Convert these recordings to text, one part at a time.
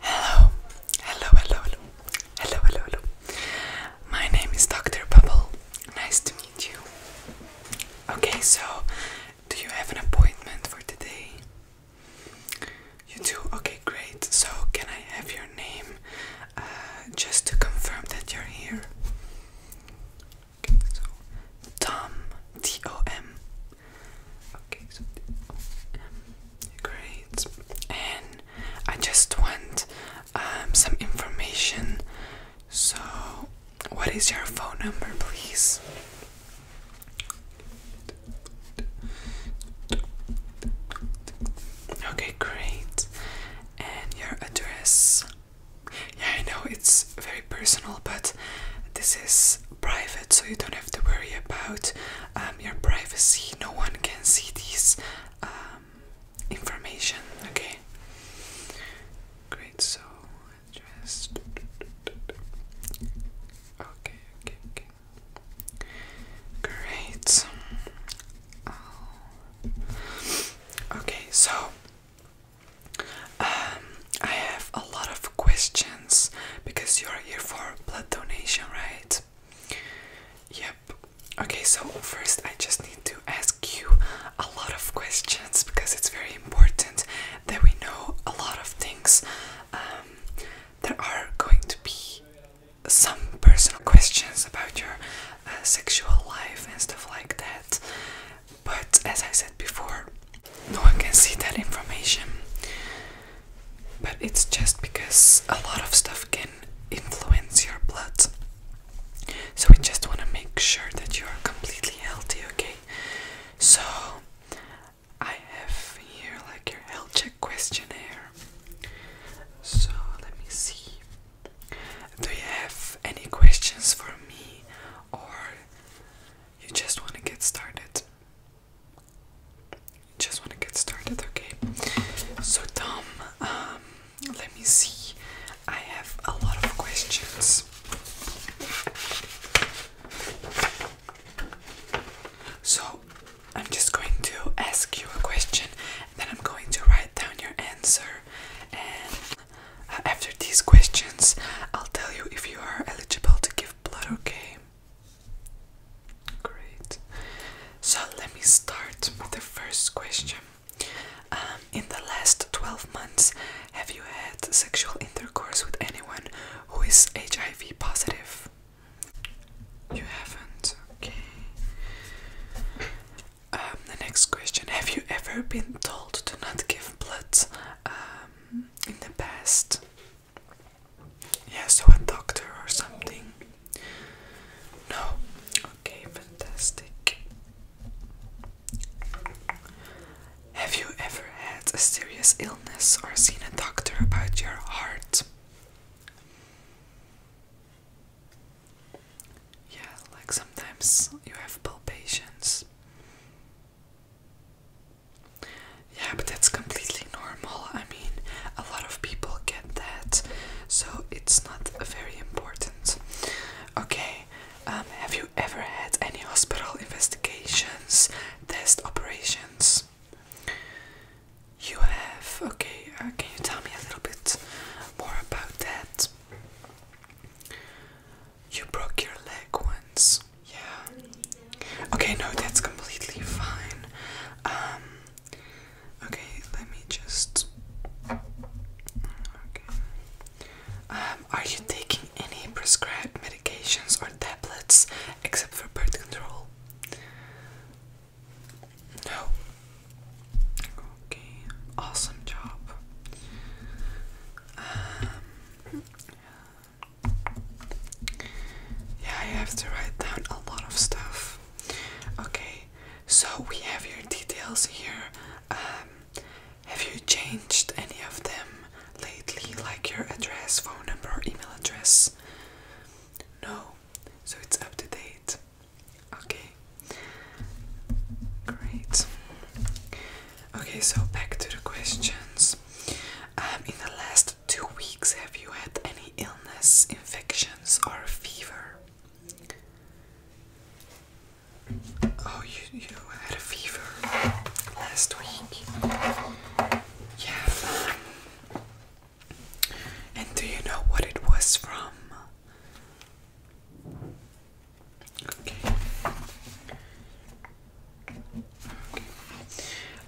Hello, hello, hello, hello, hello, hello, My name is Dr. Bubble. Nice to meet you. Okay, so do you have an appointment for today? You do? Okay, great. So, can I have your name uh, just to confirm that you're here? Okay, so, Tom, T O M. Okay, so um, great. And I just want um, some information. So, what is your phone number, please? Okay, great. And your address? Yeah, I know it's very personal, but this is private, so you don't have to worry about um, your privacy. No one can see this um, information. Okay. Great. So just okay, okay, okay. Great. Oh. Okay, so. Um, I have a lot of questions because you're here for blood donation, right? Yep. Okay, so first I just need to ask you a lot of questions because it's very important that we know a lot of things. Um, there are going to be some personal questions about your uh, sexual life and stuff like that. But as I said before, no one can see that information but it's just because a lot of stuff can influence your blood. So we just want to make sure that you are completely healthy, okay? So I have here like your health check questionnaire. So let me see. Do you have any questions for me or you just want to get started? Just want to get started, okay? So, Tom, um, let me see. I have a lot of questions. So, I'm just going to ask you a question, and then I'm going to write down your answer. And after these questions, I'll tell you if you are eligible to give blood, okay? Great. So let me start with the first question. Um, in the last 12 months, have you had sexual intercourse with anyone who is HIV positive? You haven't, okay. Um, the next question Have you ever been told to not give blood um, in the past? Yeah, so a doctor or something. No. Okay, fantastic. Have you ever had a serious illness or seen a doctor about your heart? Yeah, like sometimes you have palpitations. Yeah, but that's completely normal. I mean, a lot of people get that, so it's not very important. Okay, um, have you ever had any hospital investigations, test operations? You have. Okay, uh, can you tell me a little bit more about that? You broke your leg once. Yeah. Okay, no, that's completely fine. Um, okay, let me just. Okay. Um, are you taking any prescribed medications or tablets except for birth control? No. Okay, awesome job. Um, yeah, I have to write down a lot of stuff. Okay, so we have your details here. Um, have you changed any of them lately, like your address, phone number, or email address? No, so it's up to date. Okay, great. Okay, so back to the questions. Um, in the last two weeks have you had any illness, infections, or fever? Oh, you, you had a fever last week. Yeah. Um, and do you know what it was from? Okay. okay.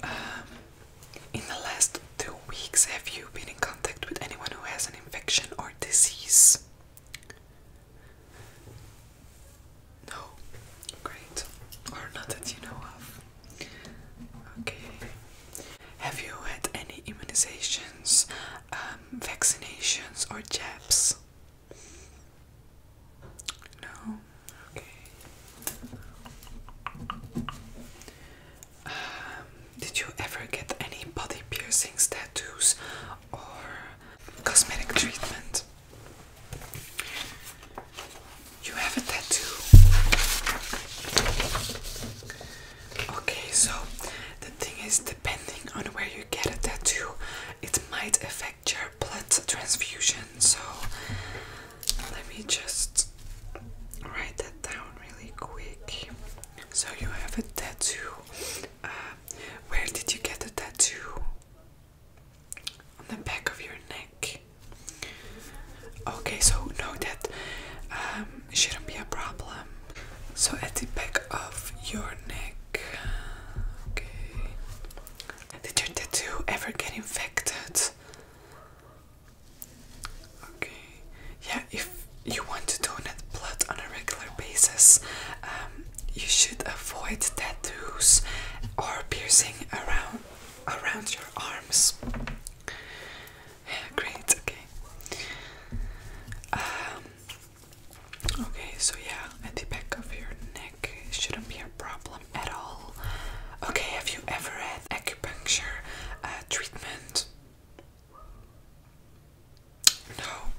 Um, in the last two weeks, have you been in contact with anyone who has an infection or disease? No, great, or not that you know of. Okay, have you had any immunizations, um, vaccinations, or jabs? No, okay. did you ever get any body piercings, tattoos, or cosmetic treatment? You have a tattoo. Okay, so the thing is, depending on where you get a tattoo, it might affect your blood transfusion. So let me just write that down really quick. So you have a tattoo. Uh, where did you get the tattoo? On the back of your neck. Okay, so no, that um, shouldn't be a problem. So at the back of your neck. Okay. Did your tattoo ever get infected? Okay. Yeah, if you want to donate blood on a regular basis, um, you should avoid tattoos or piercing around around your arms. great. Okay. Um, okay, so yeah, at the back of your neck shouldn't be a problem at all. Okay, have you ever acupuncture uh, treatment? No,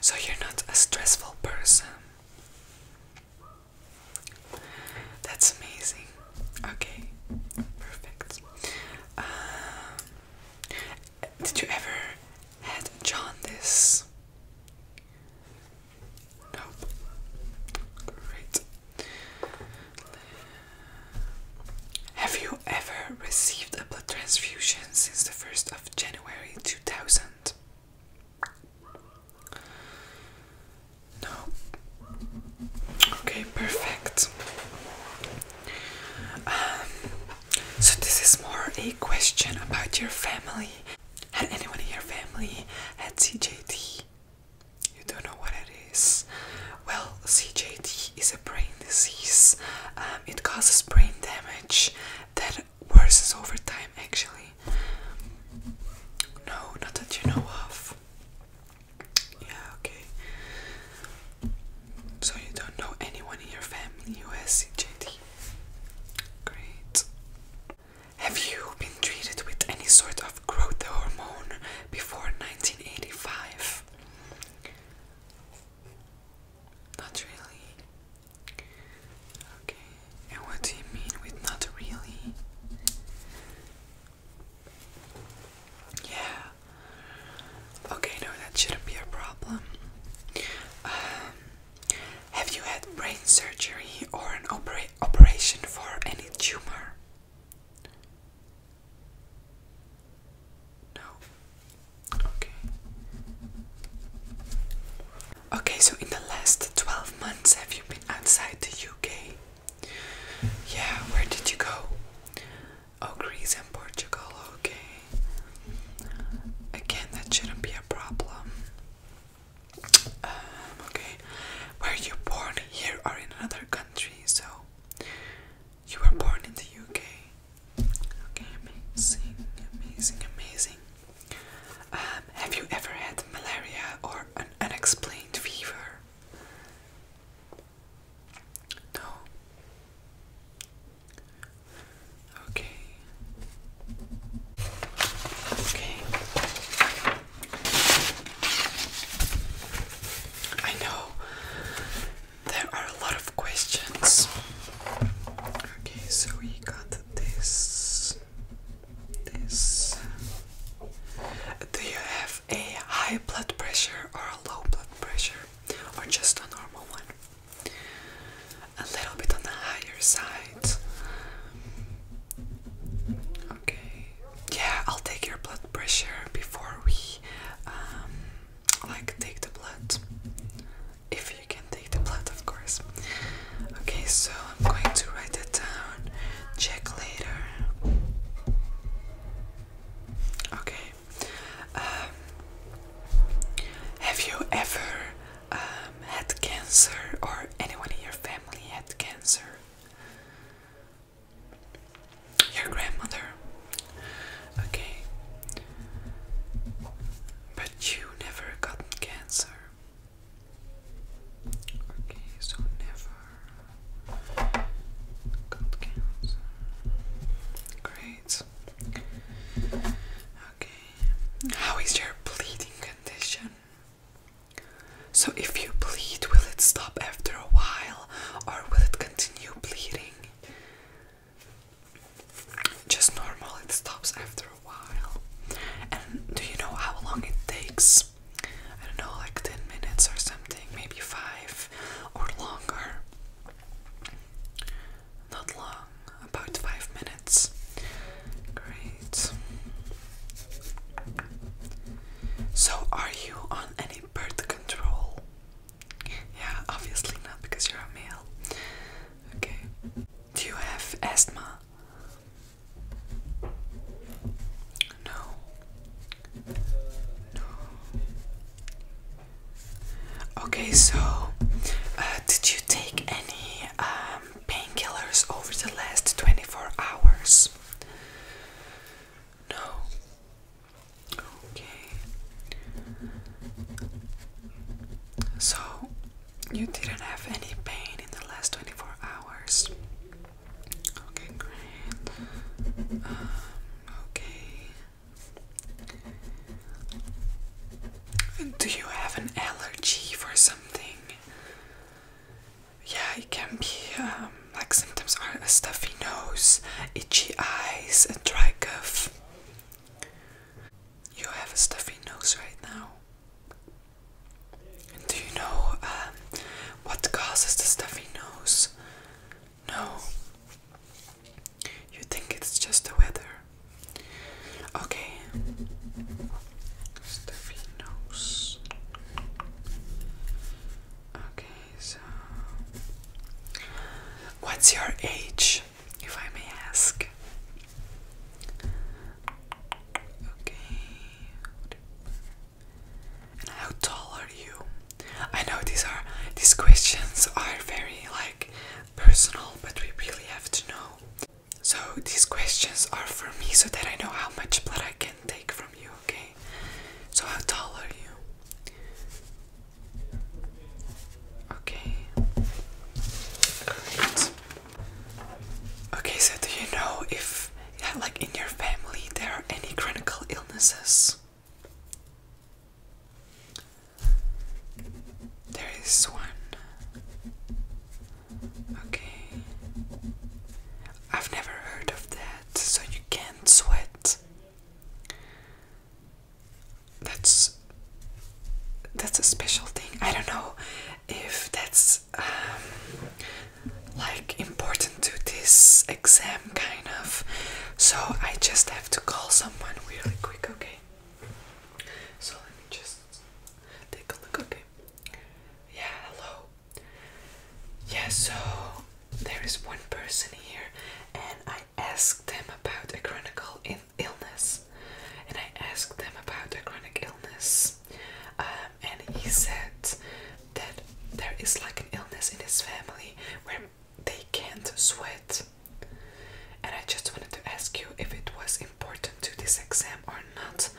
so you're not a stressful person. That's amazing. Okay, perfect. Um, did you ever had jaundice? Nope. Great. Have you ever received a blood transfusion since the 1st of January 2000? No. Okay, perfect. Um, so, this is more a question about your family. Had anyone in your family had CJD? You don't know what it is. Well, CJD is a brain disease. Um, it causes brain damage that worsens over time, actually. No, not that you know of. Yeah, okay. So you don't know anyone in your family who has CJD? Great. Have you been treated with any sort of growth hormone before 1985. Not really. Okay, and what do you mean with not really? Yeah. Okay, no, that shouldn't be a problem. Um, have you had brain surgery or an operation for any tumor? No. Okay. Okay, so in the last 12 months, have you been outside the UK? Yeah, where did you go? Oh, Greece and Portugal, okay. Again, that shouldn't be a problem. Um, okay. Were you born here or in another country? So, you were born in the UK. Okay, amazing, amazing, amazing. Um, have you ever had malaria or an unexplained fever? No. Okay. Okay. I know there are a lot of questions. Okay, so we got this. This. Do you have a high blood pressure or a low blood pressure? Or just a normal one? A little bit on the higher side. Okay yeah, I'll take your blood pressure before we um, like take the blood. If you can take the blood, of course. Okay, so I'm going to write it down. Check later. Okay. Um, have you ever um, had cancer, or anyone in your family had cancer? Your grandmother. Okay. But you never gotten cancer. Okay, so never got cancer. Great. Okay. How is your bleeding condition? So, if you bleed, will it stop after a while or will it continue bleeding? Just normal, it stops after a while. And do you know how long it takes? I don't know, like 10 minutes or something, maybe 5 or longer. Not long, about 5 minutes. Great. So, are you on any Birth control. Yeah, obviously not because you're a male. Okay. Do you have asthma? No. No. Okay, so uh, did you take any um, painkillers over the last 24 hours? No. Okay. So, you didn't have any pain in the last 24 hours. Okay, great. Um, okay. Do you have an allergy for something? yeah, it can be um, like symptoms are a stuffy nose, itchy eyes, a dry cough. You have a stuffy nose right now. do you know um, what causes the stuffy nose? No. You think it's just the weather? Okay. Stuffy nose. Okay, so what's your age, if I may ask? Okay. And how tall are you? I know these are these questions are very like personal, but we really have to know. So these questions are for me so that I know how much blood I can take from you, okay? So, how tall are you? Okay. Great. Okay, so do you know if, like, in your family there are any critical illnesses? There is one. Okay. I've never heard of that, so you can't sweat that's that's a special thing. I don't know if that's um, like important to this exam kind of. So I just have to call someone really quick, okay? So let me just take a look, okay? Yeah, hello. Yeah, so there is one person here, and I asked them about a chronic illness. And I asked them about a chronic illness, and he said that there is like an illness in his family where they can't sweat. And I just wanted to ask you if it was important to this exam or not.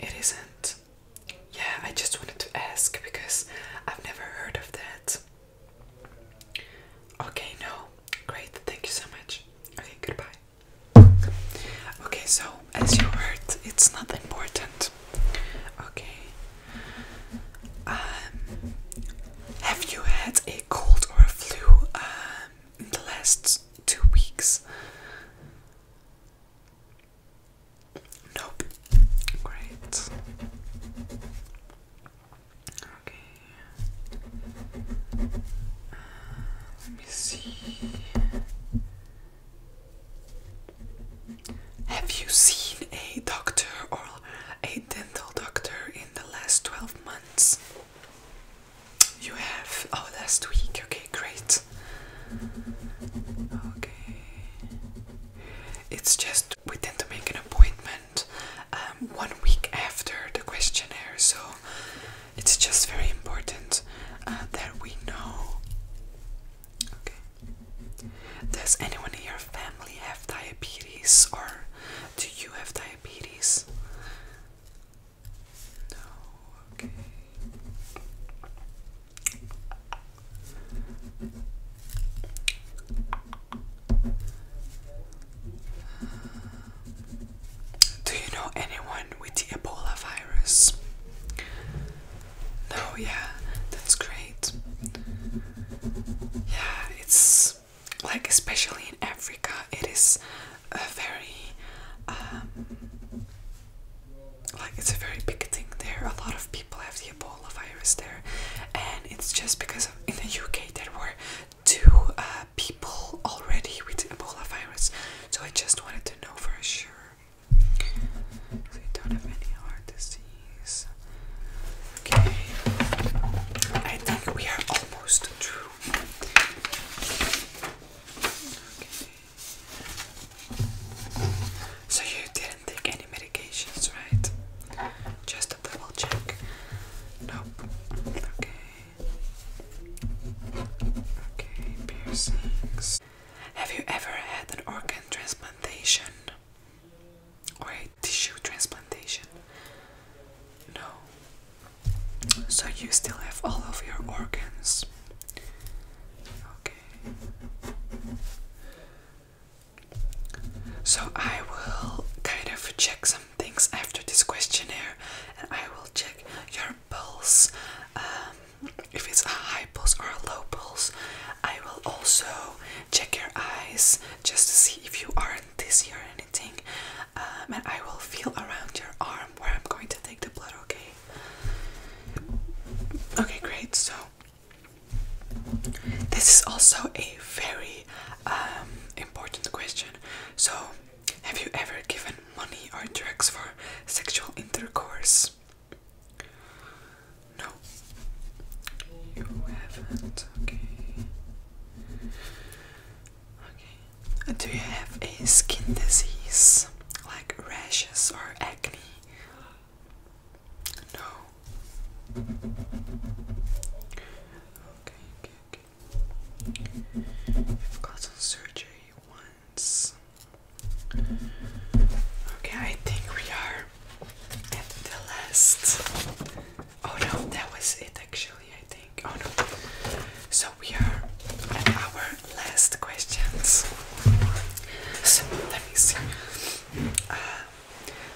It isn't yeah, I just wanted to ask because I've never heard of that. Okay, no, great, thank you so much. Okay, goodbye. Okay, so as you heard, it's not important. Okay. Um, have you had a cold or a flu um, in the last two weeks? Nope. Great. Okay. Uh, let me see. Have you seen a doctor or a dental doctor in the last 12 months? You have? Oh, last week. Okay, great. Okay. It's just we tend to make an appointment um, one week after the questionnaire, so it's just very important uh, that we know. Okay. Does anyone in your family have diabetes, or do you have diabetes? No. Okay. Do you know anyone with the Ebola virus? No, yeah, that's great. Yeah, it's like, especially in Africa, it is a very um, like it's a very big thing there. A lot of people have the Ebola virus there, and it's just because in the UK there were two uh, people already with Ebola virus. So I just wanted to know for sure. So you don't have any heart disease. Okay, I think we are almost through. Okay. So you did take any medications, right? Just a double check. Nope. Okay. Okay, piercings. Have you ever had an organ transplantation? Or a tissue transplantation? No. So you still have all of your organs. Okay. So I will kind of check some things after this questionnaire, and I will check your pulse, um, if it's a high pulse or a low pulse. I will also check your eyes just to see if you are dizzy or anything, um, and I will feel around your arm where I'm going to take the blood. Okay. Okay, great. So this is also a very um, important question. So, have you ever given money or drugs for sexual intercourse? No, you haven't. Okay. Okay. Do you have a skin disease like rashes or acne? No. Okay, okay, okay. I've got some once. Okay, I think we are at the last. Oh no, that was it actually, I think. Oh no. So we are at our last questions. So let me see. Uh,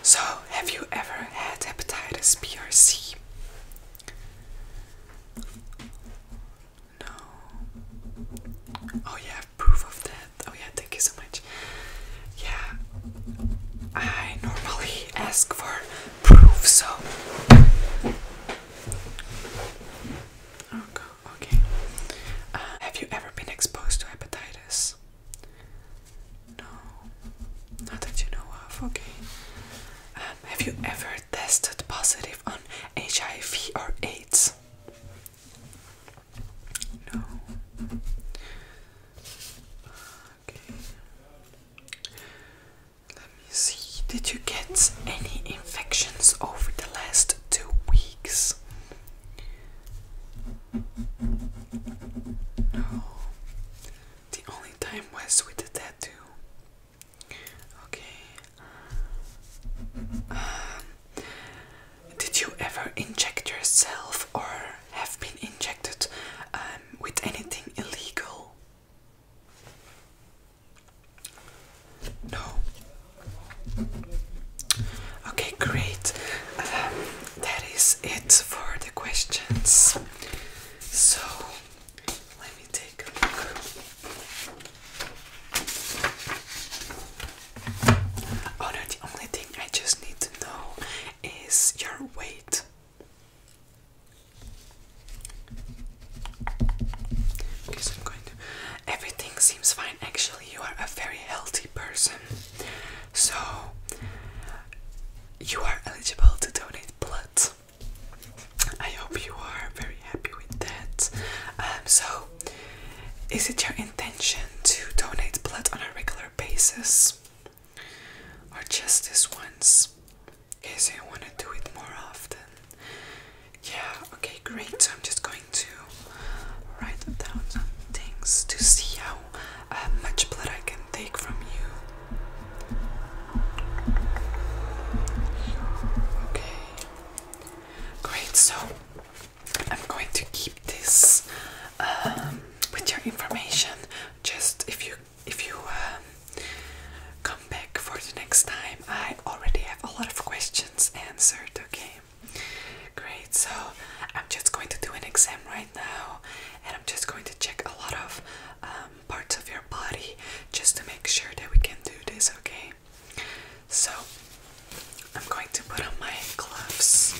so, have you ever had hepatitis B or C? No. Oh, yeah, proof of that. Oh, yeah, thank you so much. Yeah, I normally ask for proof, so. Oh, okay. Uh, have you ever been exposed to hepatitis? No, not that you know of, okay. Um, have you ever tested positive on HIV or AIDS? No. Okay. Let me see. Did you get any infections over the last two weeks? No. The only time was with the tattoo. Okay. Um, did you ever inject yourself or have been injected um, with anything illegal? No. Okay, great. Um, that is it for the questions. So let me take a look. Oh no, the only thing I just need to know is your weight. Okay, so I'm going to. Everything seems fine. Actually, you are a very healthy person. So you are eligible to donate blood. I hope you are very happy with that. Um, so, is it your intention to donate blood on a regular basis, or just this once? Okay, so you want to do it more often. Yeah. Okay, great. So I'm just going to write down some things to see how uh, much blood I can take from you. Okay, great. So I'm going to keep this um, with your information. Just if you if you um, come back for the next time, I already have a lot of questions answered. Okay. Great, so I'm just going to do an exam right now and I'm just going to check a lot of um, parts of your body just to make sure that we can do this, okay? So I'm going to put on my gloves.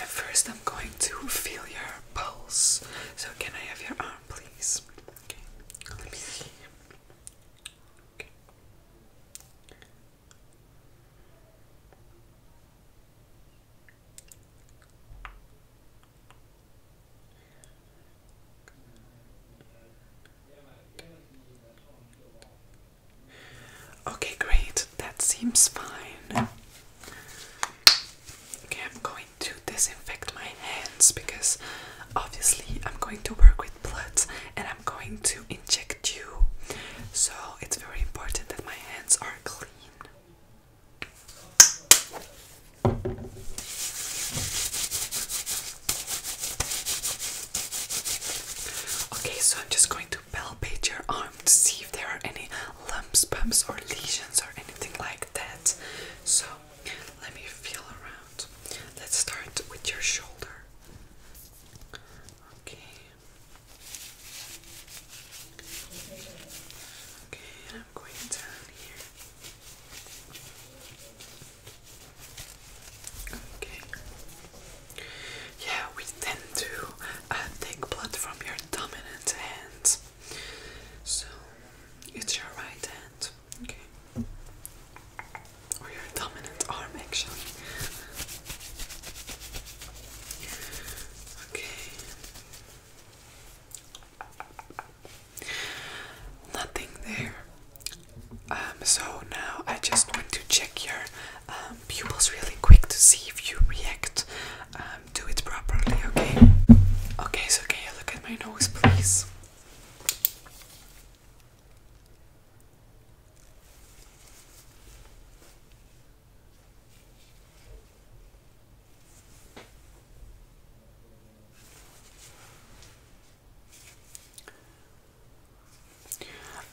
At first, I'm going to feel your pulse. So, can I have your arm, please? Okay, let me see. Okay. Okay, great, that seems fine. Okay, I'm going to disinfect my hands because obviously I'm going to work with blood and I'm going to inject you. So it's very important that my hands are clean. Okay, so I'm just going to to palpate your arm to see if there are any lumps, bumps, or lesions or anything like that. So let me feel around. Let's start with your shoulder. Okay. Okay, I'm going down here. Okay. Yeah, we tend to uh, take blood from your dominant hand. So, it's your right hand, okay? Or your dominant arm, actually. Okay. Nothing there. Um, so now I just want to check your pupils um, really quick to see if you react Do um, it properly, okay? Okay, so can you look at my nose, please?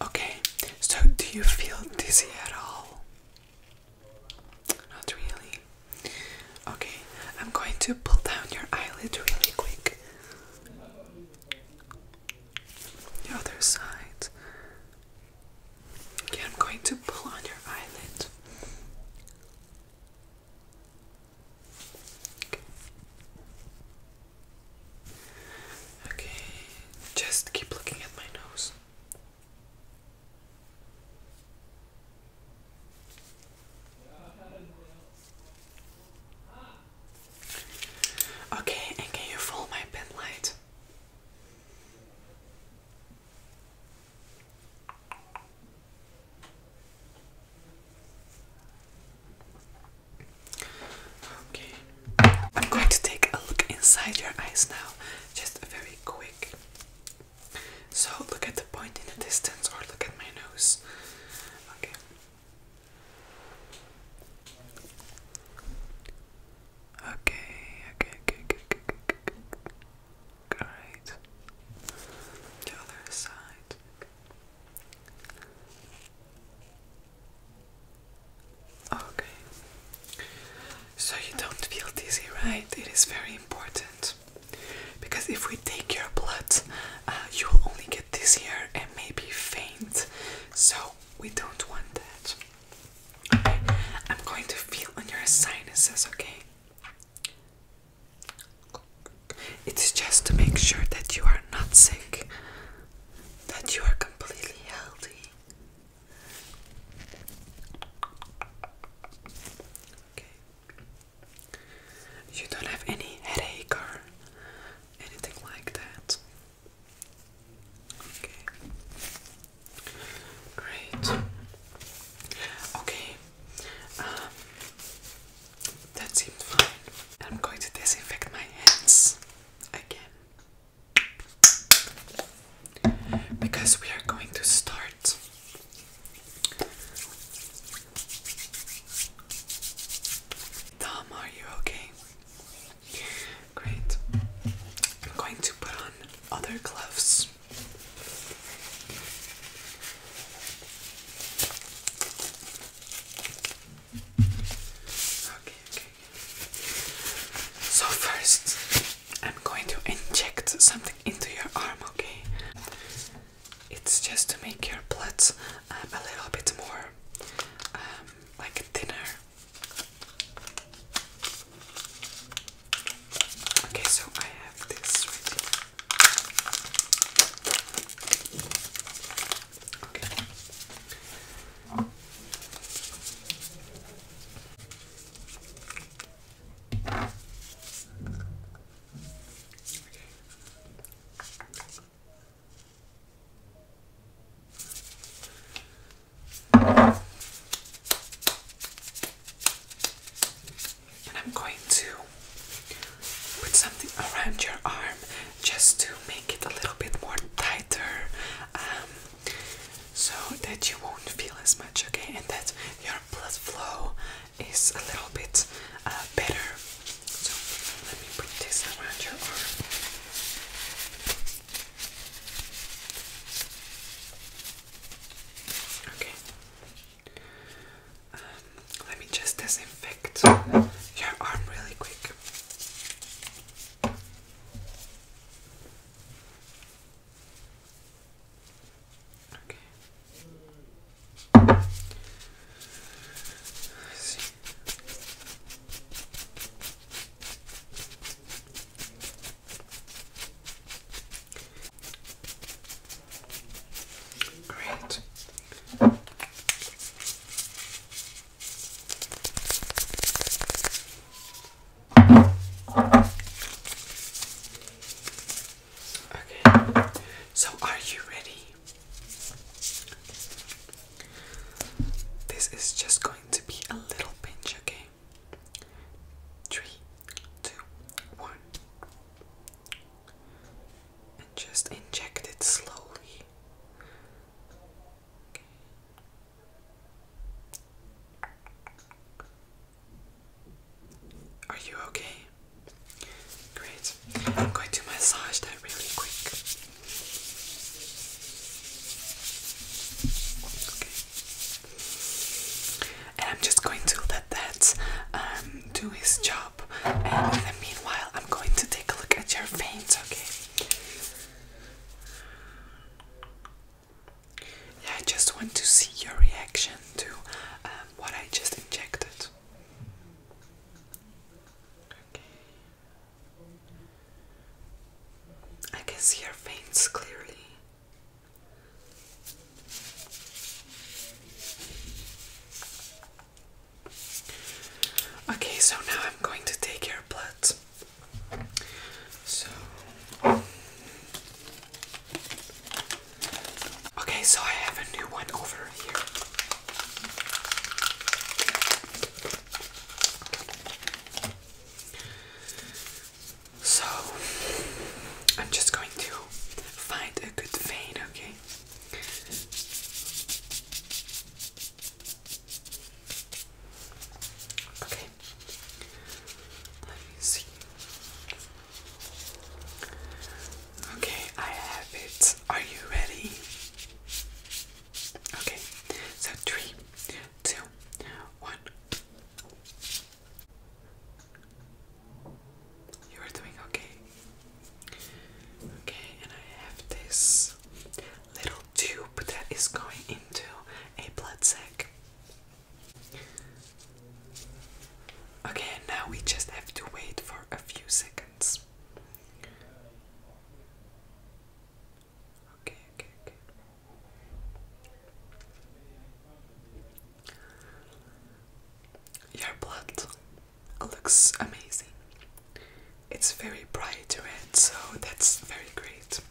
Okay, so do you feel dizzy at all? Not really. Okay, I'm going to pull down your eyelid really quick. The other side. Okay, I'm going to pull on your eyelid. Okay, just keep looking at my nose. Okay, and can you follow my pen light? Okay. I'm going to take a look inside your eyes now, just very quick. So look at the point in the distance or look at my nose. Okay. Okay, okay, okay, okay, Great. The other side. Okay. So you don't feel dizzy, right? It is very important. Because if we take your blood, uh, you'll only get dizzy and maybe faint. So we don't want that. I'm going to feel on your sinuses, okay? It's just to make sure that you are not sick, that you are completely healthy. You don't have any headache or anything like that. Okay. Great. Okay. Um, that seemed fine. I'm going to disinfect my hands again because we are going to start Tom, are you okay? Great. I'm going to put on other gloves. Okay, so first, I'm going to inject something into your arm, okay? It's just to make your blood um, a little bit more um, like thinner. Okay, so I have this ready. Okay. And I'm going to put something around your arm just to make it a little bit more tighter. Um, so that you won't feel as much, okay, and that your blood flow is a little bit uh, better. So let me put this around your arm. Okay. Um, let me just disinfect your arm really quick. Okay. Let's see. Great. Okay, so are you ready? This is just going to be a little pinch, okay? Three, two, one. And just inject it slowly. Are you okay? Great. I'm going to massage that really quick. And I'm just going to let that um, do his job. And meanwhile, I'm going to take a look at your veins, okay? I just want to see your reaction to um, what I just injected. Okay. I can see your veins clearly. Okay, so now I'm going to take your blood. So Okay, so I have a new one over here. So I'm just going to find a good vein, okay? Okay. Let me see. Okay, I have it. Are you ready? Okay, so three, two, one. You are doing okay. Okay, and I have this little tube that is going into a blood sac. Okay, now we just have to wait for a few seconds. Okay, okay, okay. Your blood looks amazing. It's very bright red, so that's very great.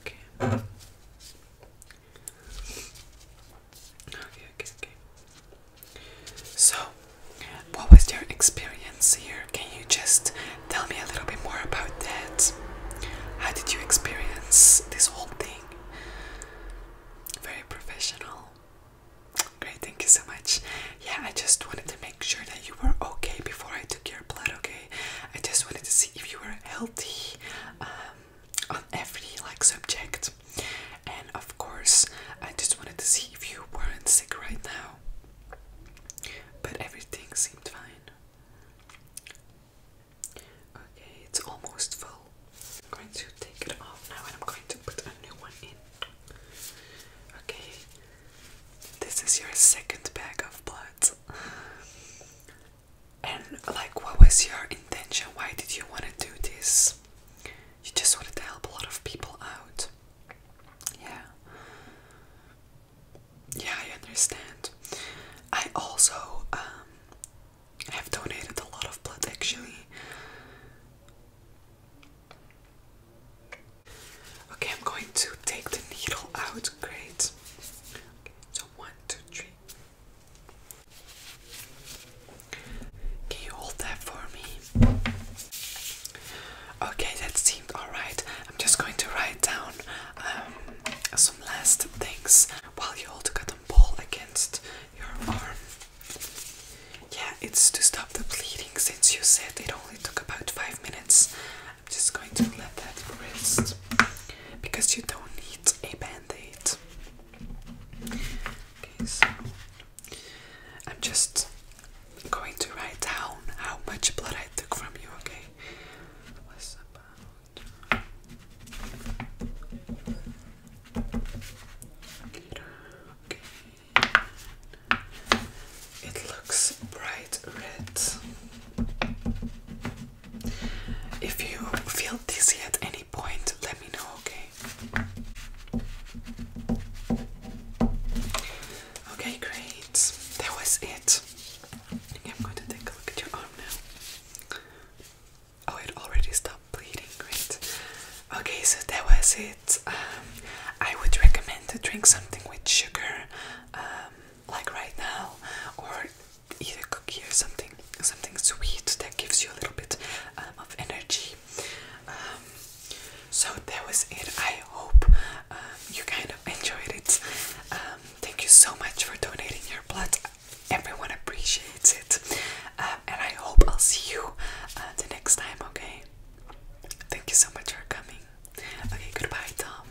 Okay. Okay, okay, okay. So, what was your experience here? Can you just tell me a little bit more about that? How did you experience this whole thing? Very professional. Great, thank you so much. Yeah, I just wanted to make sure that you were okay before I took your blood, okay? I just wanted to see if you were healthy um, on every like subject, and of course, I just wanted to see if you weren't sick right now. But everything seemed fine. Okay, it's almost full. I'm going to take it off now and I'm going to put a new one in. Okay, this is your second bag of blood. And like, what was your intention? Why did you want to do this? You just wanted to help a lot of people out. Yeah. Yeah, I understand. I also um, have donated a lot of blood actually. Okay, I'm going to take the needle out. Great. Okay, so one, two, three. Can you hold that for me? Okay, that seemed alright. I'm just going to write down um, some last things while you hold the cotton ball against your arm. Yeah, it's to stop the bleeding since you said it only took about five minutes. I'm just going to let that rest because you don't need a band-aid. Okay, I'm just going to write down how much blood I took from you, Okay. It looks bright red. If you feel dizzy at any point, let me know, okay? Okay, great. That was it. I'm going to take a look at your arm now. Oh, it already stopped bleeding, great. Okay, so that was it. Um, I would recommend to drink something with sugar, um, like right now, or eat cookie or something, something sweet that gives you a little bit um, of energy. Um, so that was it. I hope um, you kind of enjoyed it. thank you so much for donating your blood. Everyone appreciates it, and I hope I'll see you uh, the next time. Okay. Thank you so much for coming. Okay, goodbye, Tom.